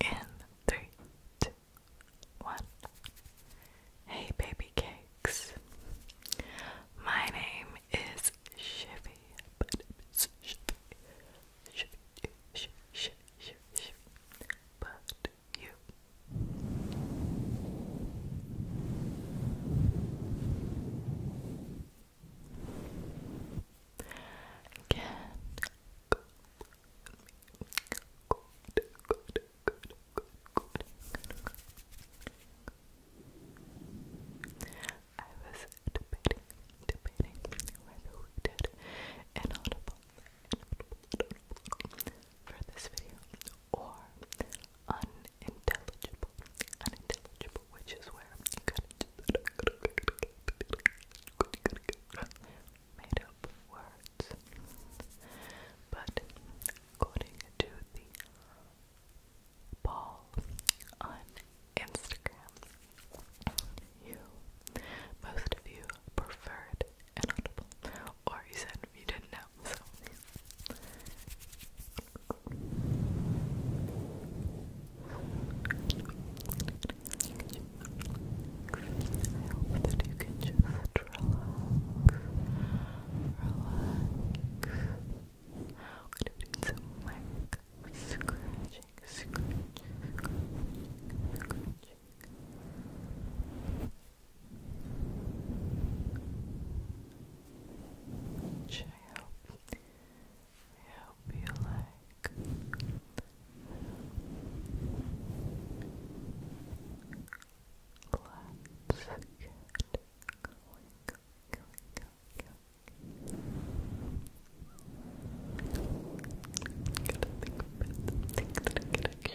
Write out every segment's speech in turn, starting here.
In three, two, one. Hey, baby cakes. My name is Chevy, but you. Again. Good. Good. Good. Good. Good. Good. I was debating, debating whether we did inaudible, inaudible, for this video or unintelligible, unintelligible, which is where made up words. But according to the poll on Instagram, you most of you preferred inaudible. Or you said you didn't know, so. I hope that you can just relax. Relax. do some mic scratching, scratching, scratching. Which I hope, I hope you like. Let's get going, going, going, going. Gotta think of it. Think that I gotta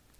Here's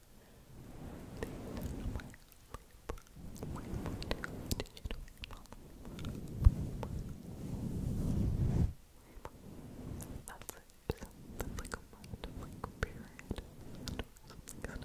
That's it. that's like a month, like period. Labor,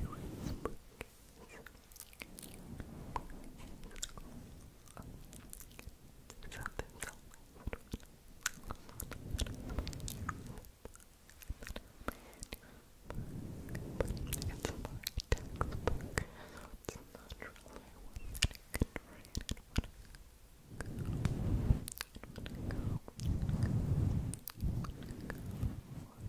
you whisper kiss? Can you whisper kiss? Oh, okay. Something's it's more textbook, so it's not really one that I can read and wanna go, and wanna go, and wanna go, and wanna go,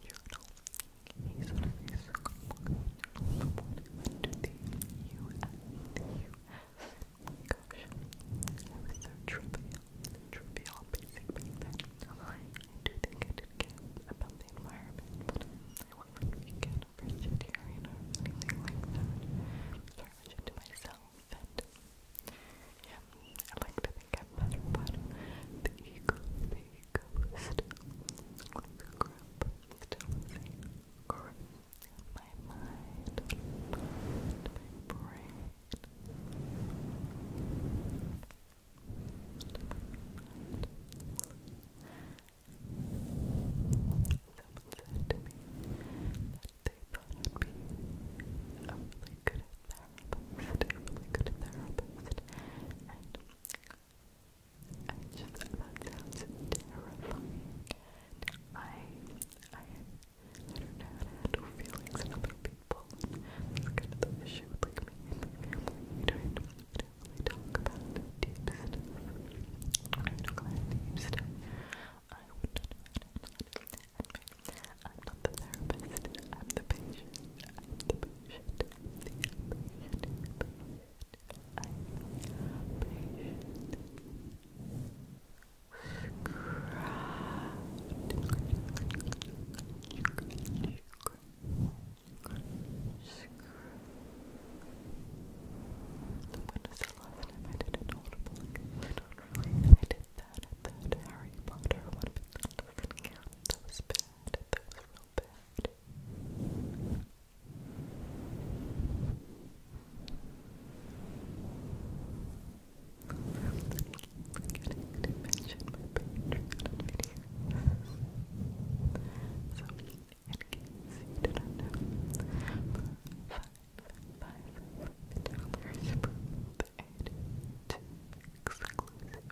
He's already so Someone went to the US, the US. Gosh, I was so trivial, trivial, basic back I do think I did care about the environment, I wasn't vegan or vegetarian or anything like that. I was just to myself and yeah, I like to think I'm better, but the ego, the ego is still my mind, my brain. Someone said to me that they thought I'd be a really good therapist, a good therapist, and I just sounds terrifying. I, I, I don't know how to handle feelings in other people. That's kind of the issue with me and don't, we don't talk about deep don't know how to handle it. I'm not the therapist, I'm the patient, I'm the patient, the patient, the patient, I'm the patient. Scratch, scratch, when the last time I did an audible? I I did that that Harry Potter one, that was bad. That was real bad. Forgetting to mention my Patreon videos. So, in case you didn't know, for five, five, five dollars two exclusive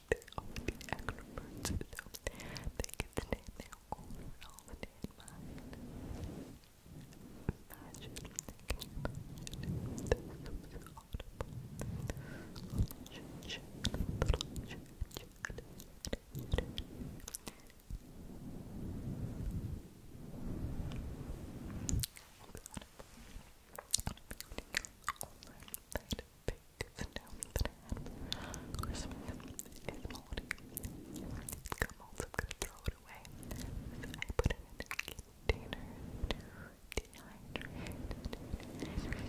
they are the extroverts, so they can stay in their all the day in mind. Imagine, can you imagine this was audible? Relationship, relationship, relationship. It was audible. All right, that big snow that I is moldy. It's I'm gonna throw it away. So I put it in a container to dehydrate it. And I put in a container with the lid And I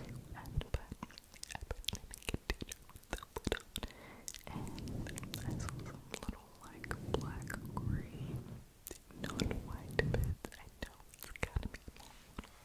saw some little like black green, not white bits. I know it's to be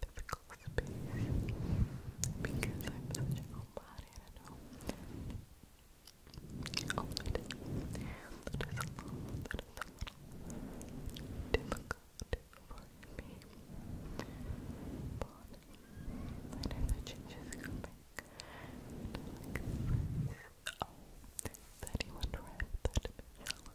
physical space because I'm such a homebody, I know. Oh, I did. That is little, that is a little difficult for me. But I know the change coming. And I you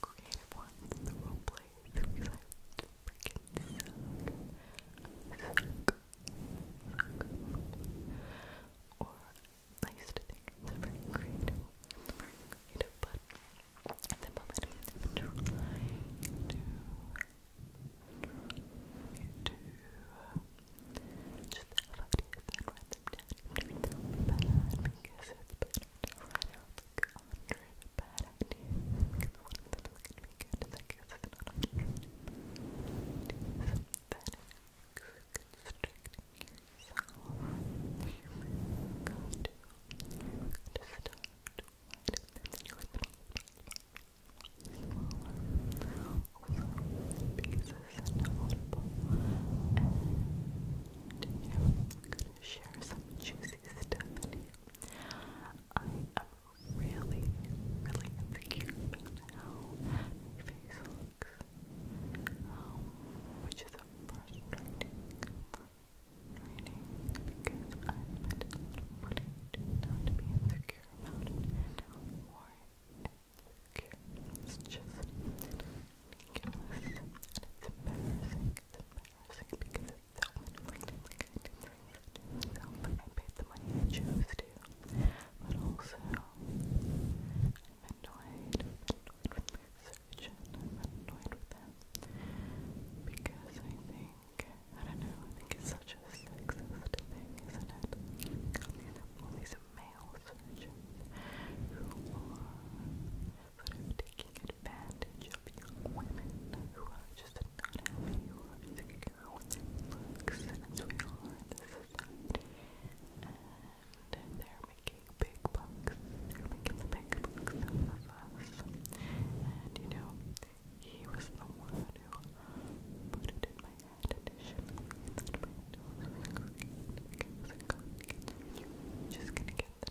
creative ones, the role plays, because I freaking suck. I suck. Or I used to think it's very creative, very creative, but at the moment I'm trying to to just have ideas and write them down and read them it's better right now like a hundred bad ideas. Because one of them is gonna be good, and I guess it's not a hundred ideas. That is constricting yourself. You've got to, you've got to start wide, and then you're smaller. Also, because it's inaudible, and you know, I'm gonna share some juicy Stephanie. I am really, really insecure about how my face looks, um, which is a frustrating, frustrating because I spent a lot of money to not be insecure about it and how worried it's just ridiculous and because I chose to, but also annoyed, with my surgeon, annoyed with him because I think I don't know, I think it's such a sexist thing, isn't it? all these male surgeons who are sort of taking advantage of young women who are just not happy or insecure with their looks, and And they're making big bucks. making the big bucks of us. And you know, he was the one who put it in my head initially that my nose just gonna get the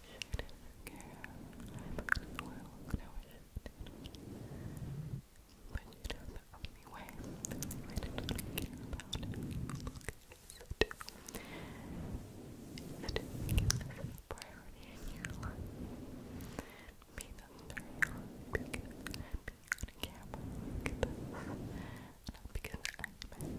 shift care. I'm a good oil But you know the only way, the only way care about it is look is to is to make this a priority in your life. Be this very hard because being on a camera because I'm imagining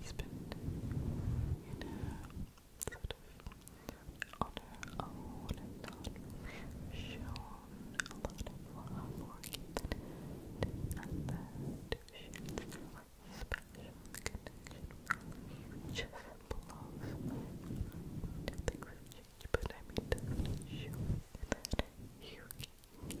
husband, and her sort of on her own and a lot of love or even and that she has a special connection with just blossom to the but I mean show that you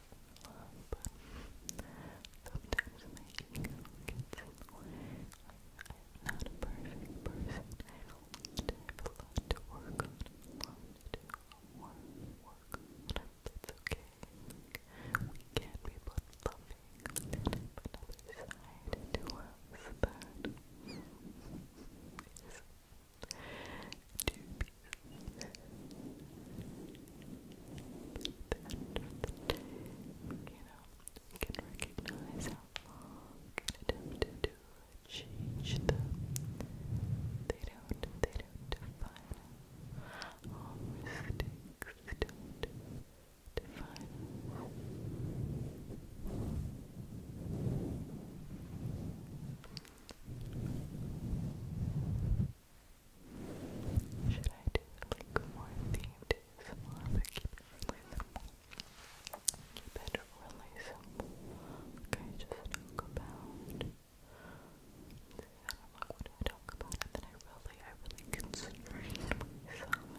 love, but sometimes my ego gets in the I'm not a perfect person. I have to work on, a work That's okay. we can be both loving and have another side to us that is to the you know, can recognize how long an attempt to change them. They don't, they don't define us. All don't define should I do like more themed ASMR but keep it Okay, just talk about I do like what do I talk about and then I really, I really constrain I really constrain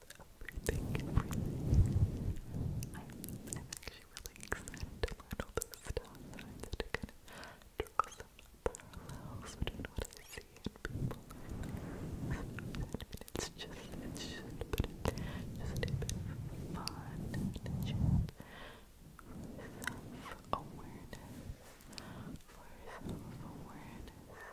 Thank you i actually really excited to all this stuff to kind of draw some parallels between what I see and people. I it's just, just, but it's just a bit of fun and just self-awareness for self-awareness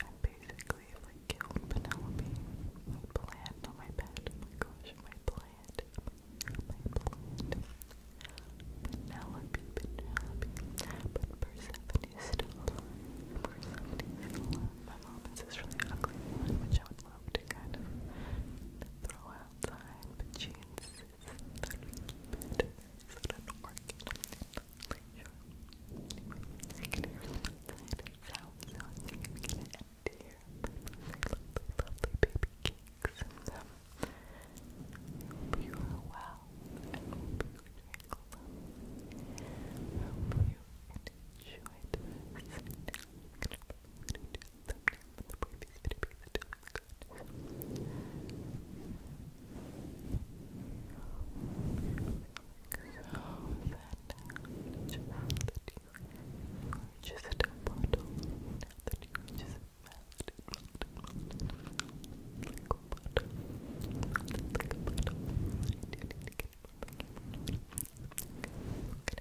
I basically like killed Penelope. My plant on my bed. Oh my gosh, my plant. My plant. Penelope, Penelope. But Persephone is still alive. Persephone is still alive. My mom has really ugly which I would love to kind of throw outside, but she insists that we inside so I am gonna end here. Lovely, lovely, baby cakes. Um, you are well. I hope you're doing well. I hope you enjoyed I'm gonna do a thumbnail the previous video because it so that now that you purchased a bottle, now that you just melted, melted, melted, like a bottle, melted like a bottle, I didn't get it back. Okay, what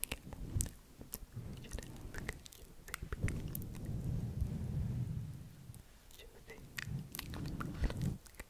can I get? Just ask Josie, Josie. Okay,